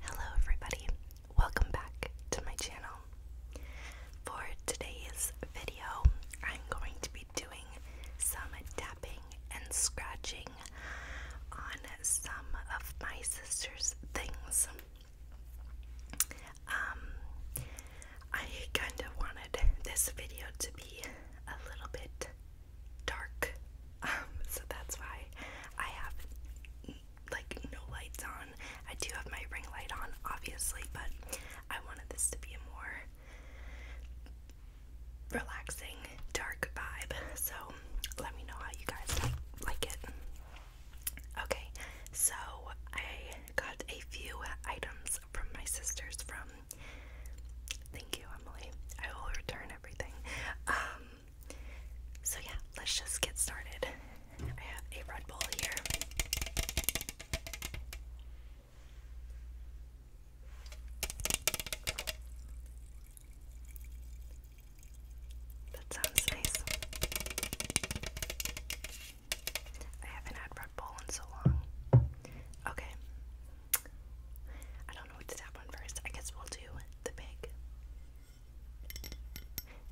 Hello, everybody, welcome back to my channel. For today's video, I'm going to be doing some tapping and scratching on some of my sister's things. Um, I kind of wanted this video to be a little bit dark. Um, so that's why I have like no lights on. I do have my ring light on, obviously, but I wanted this to be a more relaxing, dark vibe. So let me know how you guys like, like it. Okay, so I got a few items from my sisters from. Thank you, Emily. I will return everything. Um, so, yeah, let's just get started. I have a Red Bull here. That sounds nice. I haven't had Red Bull in so long. Okay, I don't know what to tap on first. I guess we'll do the big,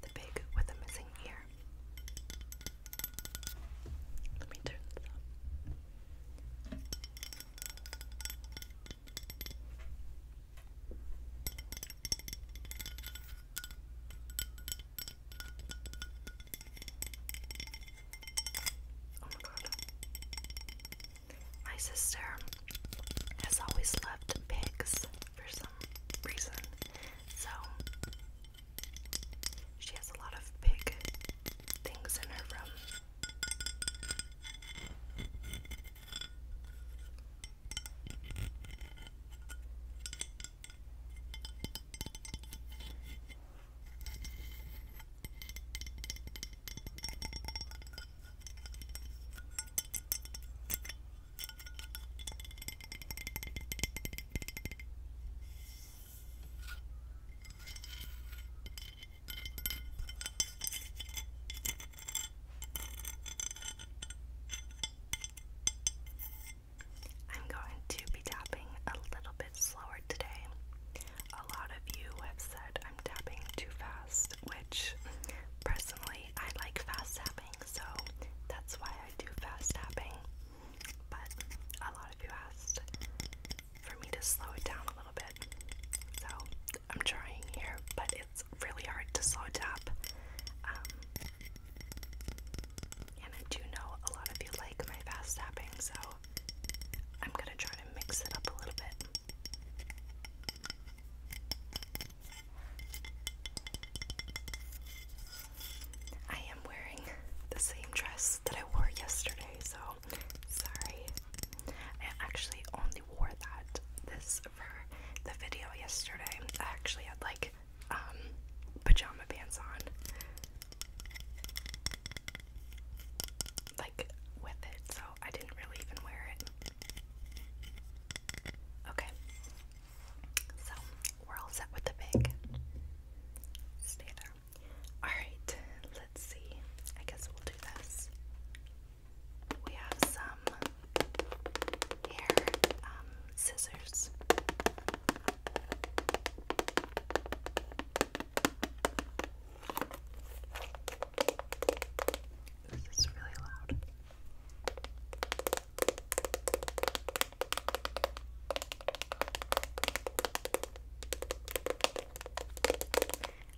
The pig with a missing ear. Let me turn this Oh my god. My sister has always loved pigs for some reason, so she has a lot of pig things in her room. I'm going to be tapping a little bit slower today a lot of you have said I'm tapping too fast, which personally I like fast tapping, so that's why I do fast tapping. But a lot of you asked for me to slow it down a little bit, so I'm trying here, but it's really hard to slow tap. Um, and I do know a lot of you like my fast tapping, so I'm going to try to mix it up a little bit. I am wearing the same dress that I wore yesterday, so sorry. I actually only wore that this for the video yesterday. I actually had like um, pajama pants on. Like with it, so I didn't really even wear it. Okay, so we're all set with the big. Stay there. Alright, let's see. I guess we'll do this. We have some hair um, scissors. This is really loud.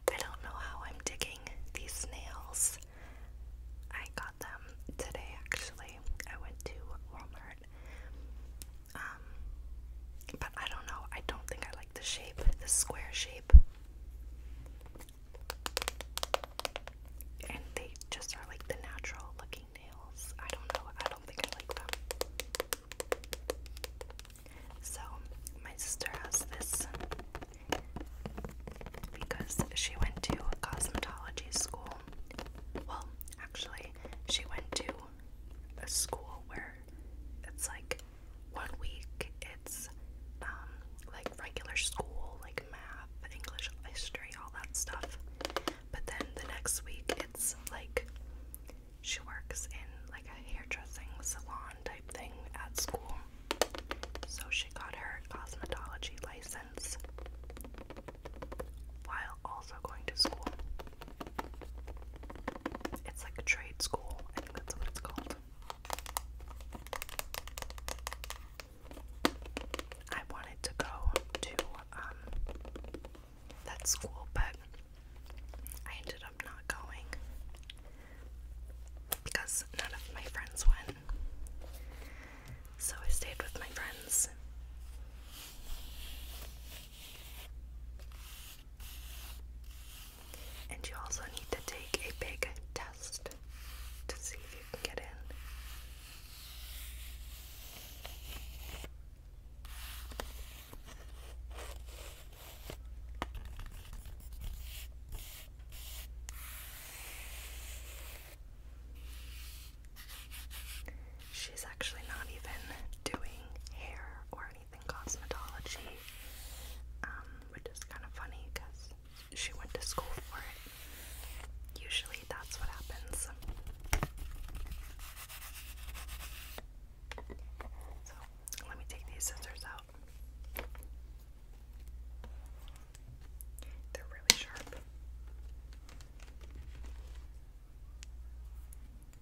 I don't know how I'm digging these nails. I got them today actually. I went to Walmart. Um, but I don't know. I don't think I like the shape, the square shape. And they just are like the natural looking nails. I don't know. I don't think I like them. So, my sister has this because she went to cosmetology school. Well, actually, she went to a school where it's like one week it's um, like regular school, like math, English, history, all that stuff. But then the next week it's like she works in like a hairdressing salon type thing at school. So she got her cosmetology license while also going to school. It's like a trade school. I think that's what it's called. I wanted to go to um, that school, but I ended up not going because none of my friends went. So I stayed with my friends. And you also need to take a big test to see if you can get in. She's actually not even doing hair or cosmetology, um, which is kind of funny because she went to school for it. Usually that's what happens. So let me take these scissors out. They're really sharp.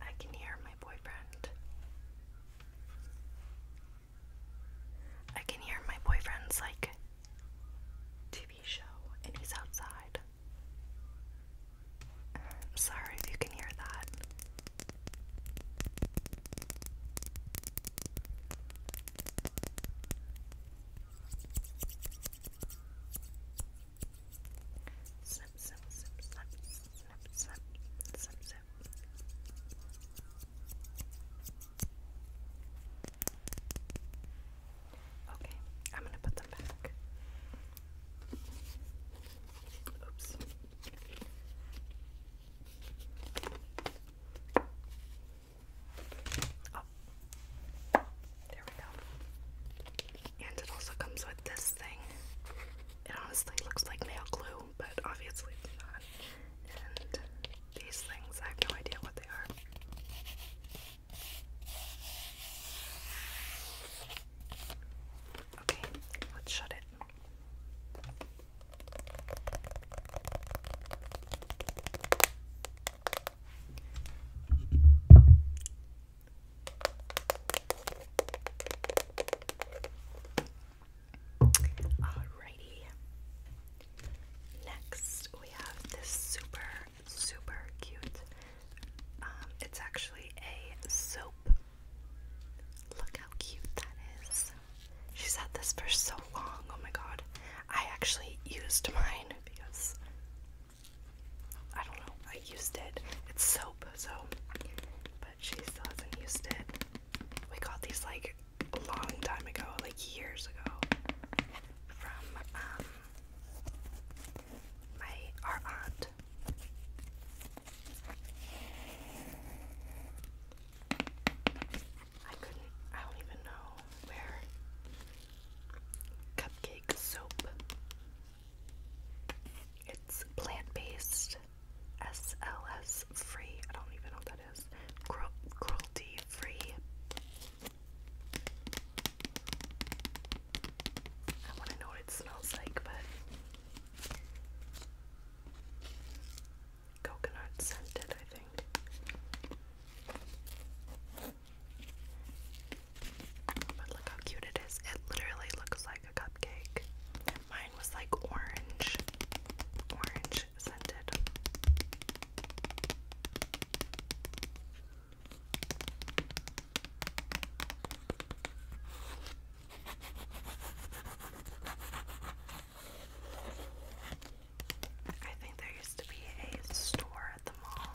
I can hear my boyfriend. I can hear my boyfriend's like TV show and he's outside. I'm sorry if you can hear that. Okay, I'm gonna put them back. Oops. Oh, there we go. And it also comes with this thing. It honestly looks like nail glue, but obviously it's not. And these things, I have no idea what they are. Okay, let's shut it. Alrighty. Next, we have this super, super cute. Um, it's actually a soap. Look how cute that is. She's had this for so long. Oh my god. I actually used mine because I don't know. I used it. It's soap, so. But she still hasn't used it. We got these like a long time ago, like years ago, from um, my our aunt. I couldn't. I don't even know where. Cupcake soap. It's plant-based, SLS free. I don't even know what that is. cruelty free. I want to know what it smells like, but coconut scented, I think. But look how cute it is. It literally looks like a cupcake. Mine was like orange. Orange scented. I think there used to be a store at the mall.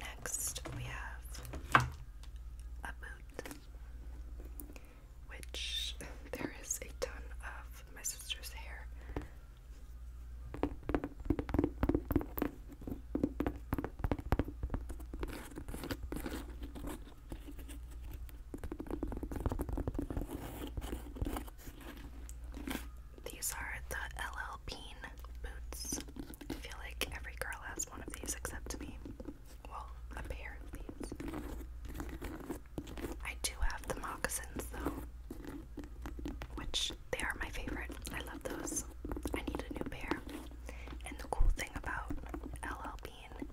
Next, we have a boot, which there is a ton of my sister's hair. These are the LL Bean boots. I feel like every girl has one of these except me. Well, a pair of these. I do have the moccasins though, which they are my favorite. I love those. I need a new pair. And the cool thing about LL Bean,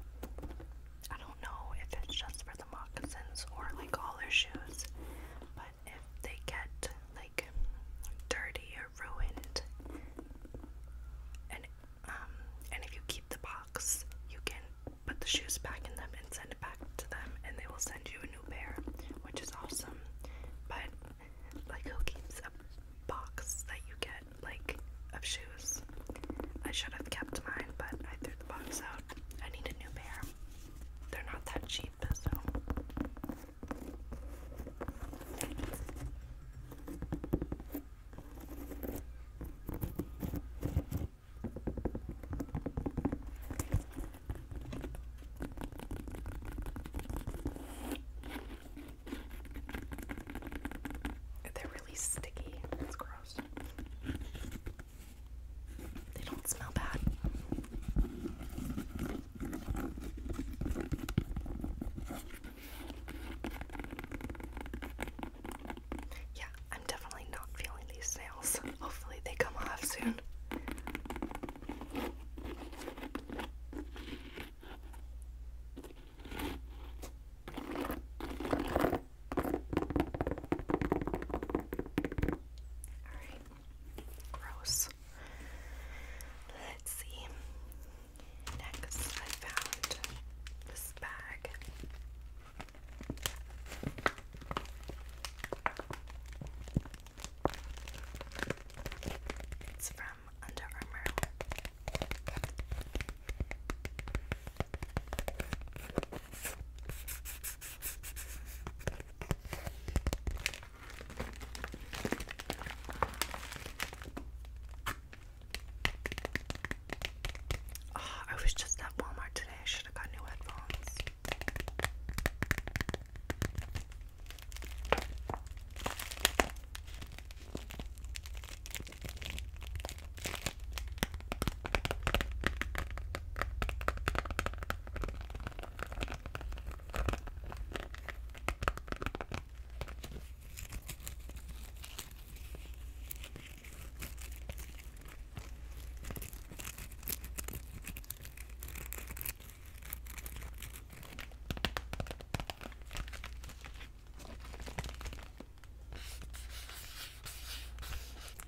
I don't know if it's just for the moccasins or like all their shoes, but but if they get like dirty or ruined, and um, and if you keep the box, you can put the shoes back in them and send it back to them, and they will send you a new pair, which is awesome. But like, who keeps a box that you get like of shoes? I should have kept mine, but I threw the box out. I need a new pair. They're not that cheap keep this They're really sticky. It's gross. They don't smell bad. Yeah, I'm definitely not feeling these nails. Hopefully, they come off soon. All right. Gross. Let's see. Next, I found this bag. It's from Under Armour. Ah, I was just at Walmart today. I should have got new headphones.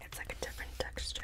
It's like a different texture.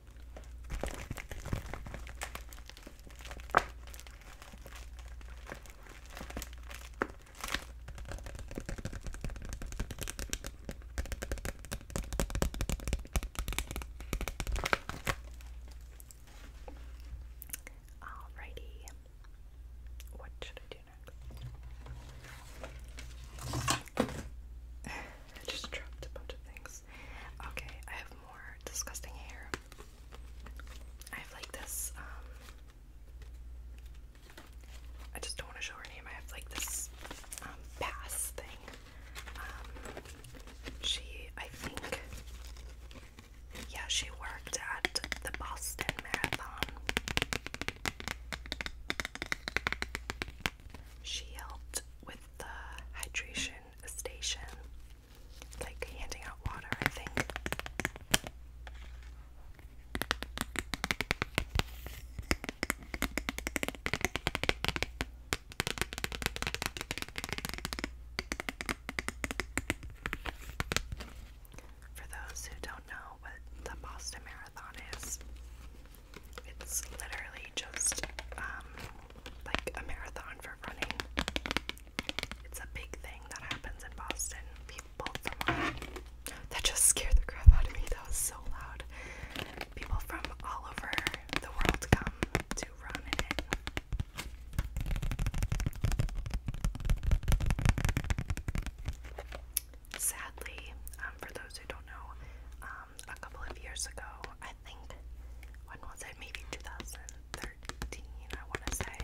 Alrighty. What should I do next? I just dropped a bunch of things. Okay, I have more disgusting hair. I have like this, um, I just don't want to show her name. I have like this um, pass thing. Um, she, I think, yeah, she worked at the Boston Marathon. She helped the hydration station, like handing out water, I think. For those who don't know what the Boston Marathon is, it's literally just um, like a marathon for running. It's a big thing that happens in Boston. People from that just scared the crap out of me. That was so loud. People from all over the world come to run Sadly, um, for those who don't know, um, um, a couple of years ago. I think, when was it? Maybe 2013, I want to say.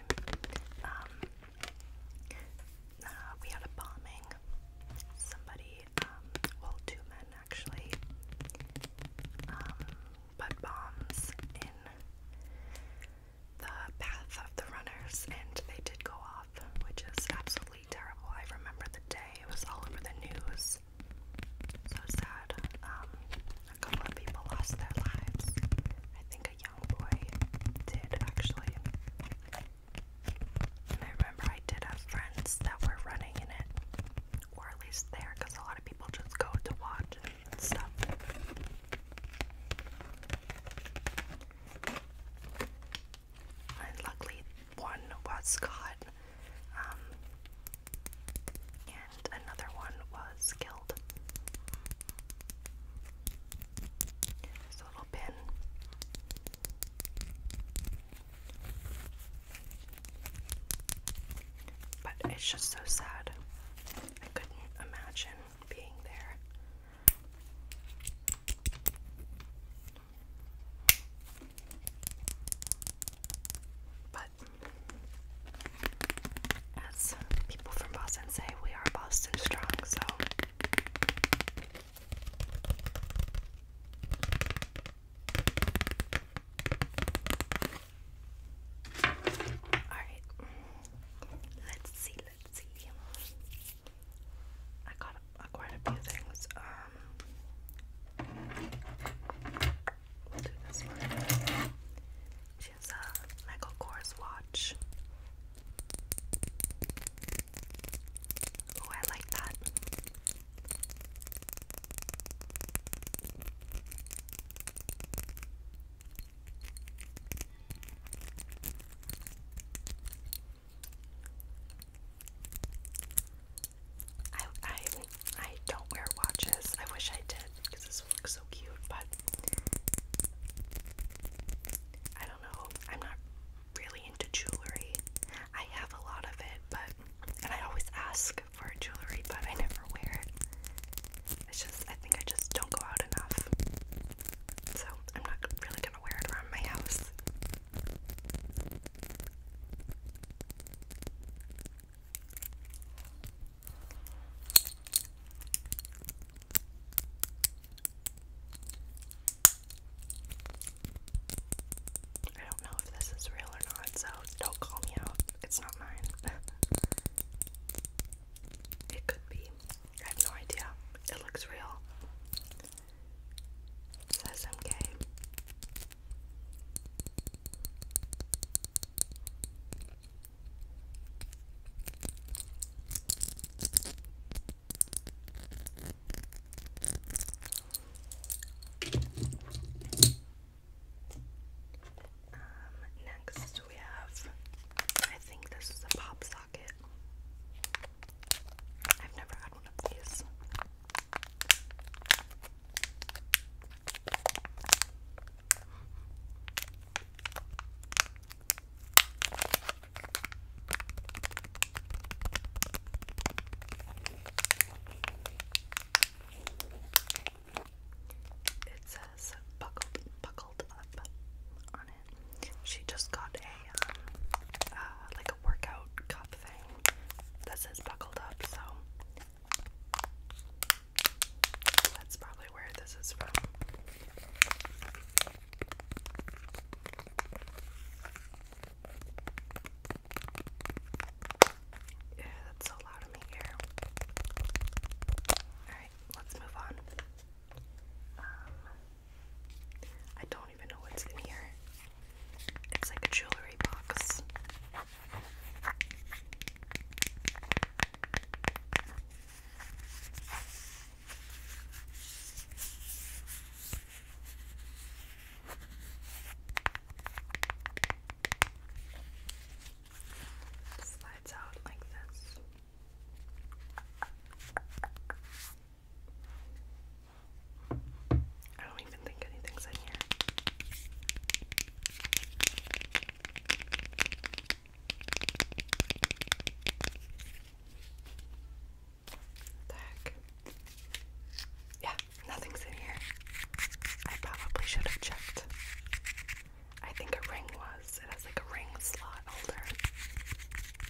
Um, uh, we had a bombing. Somebody, um, well, two men actually, put bombs in the path of the runners and they did go off, which is absolutely terrible. I remember the day, it was all over the news. So sad. Um, a couple of people lost their lives. I think a young boy did actually. And I remember I did have friends that were running in it, or at least there, because a lot of people just go to watch stuff and luckily one was caught, um, and another one was killed. This little pin. But it's just so sad. I couldn't imagine being there. But as people from Boston say, we are Boston strong, so Alright. Let's see, let's see. I got uh, quite a few things. Um, She has a Michael Kors watch. Oh, I like that. I I I don't wear watches. I wish I did because this looks so cute, but I don't know. I'm not really into jewelry. I have a lot of it, but and I always ask for jewelry, but I never wear it. It's just I think I just don't go out enough. So I'm not really gonna wear it around my house. I don't know if this is real or not, so don't call me out. It's not mine. it could be. I have no idea. It looks real says i um, next we have, I think this is a pop socket. I've never had one of these. It says buckled up on it. She just got a um, like a workout cup thing that says buckled up, so that's probably where this is from. Yeah, that's so loud in my Alright, let's move on. Um, I don't even know what's in here. It's like a jewelry box. Slides out like this. I don't even think anything's in here. heck? Yeah, nothing's in here. I probably should have checked. I think a ring was. It has like a ring slot holder.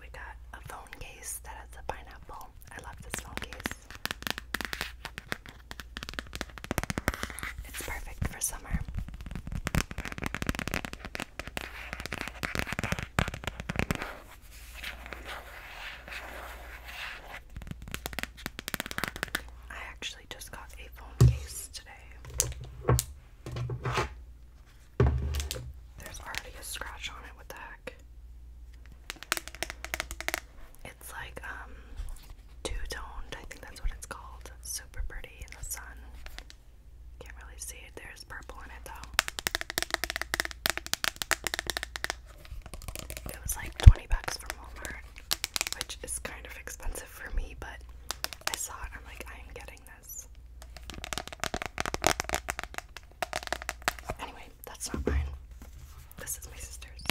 We got a phone case that has a pineapple. I love this phone case. It's perfect for summer. I actually just got a phone case today. There's already a scratch on it. What the heck? It's like um, two-toned. I think that's what it's called. Super pretty in the sun. Can't really see it. There's purple in it though. It was like 20 bucks from Walmart, which is kind of expensive for me, but I saw it. I'm like, I am getting Anyway, that's not mine. This is my sister's.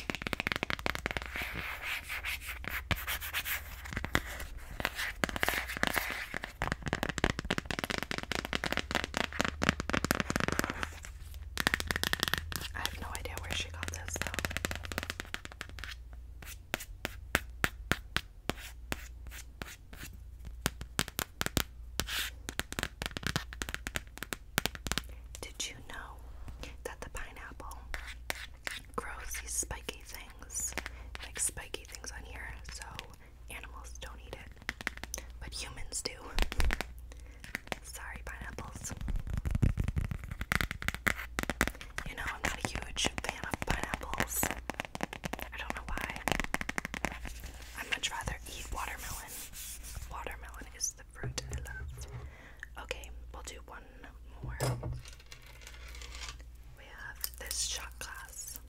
I have no idea where she got this though. Did you know that the pineapple grows these spiky things? Like spiky things on here, so animals don't eat it, but humans do. Sorry, pineapples. You know, I'm not a huge fan of pineapples. I don't know why. I'd much rather eat watermelon. Watermelon is the fruit I love. Okay, we'll do one more. We have this shot glass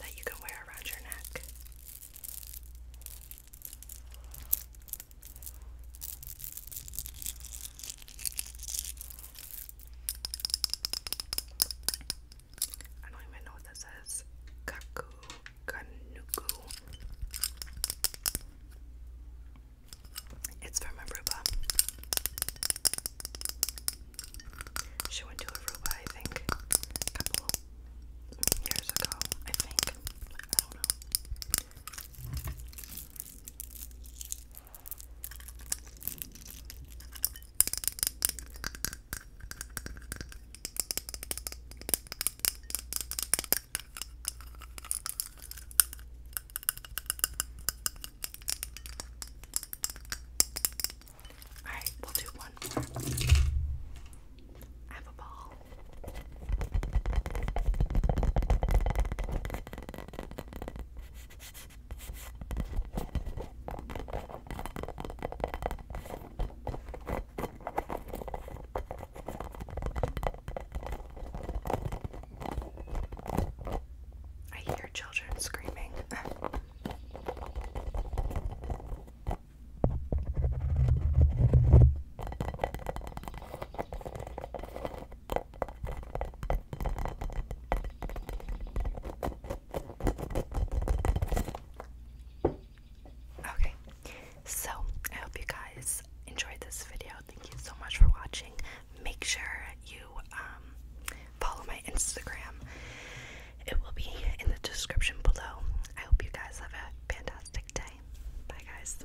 that you can wear around your neck. I don't even know what that says. Kaku Kanuku. It's from Aruba. She went to Aruba, I think, a couple years ago. I think. I don't know. All right, we'll do one more. I have a ball. I hear children screaming. Okay, so I hope you guys enjoyed this video. Thank you so much for watching. Make sure you um, follow my Instagram, it will be in the description below. I hope you guys have a fantastic day. Bye, guys.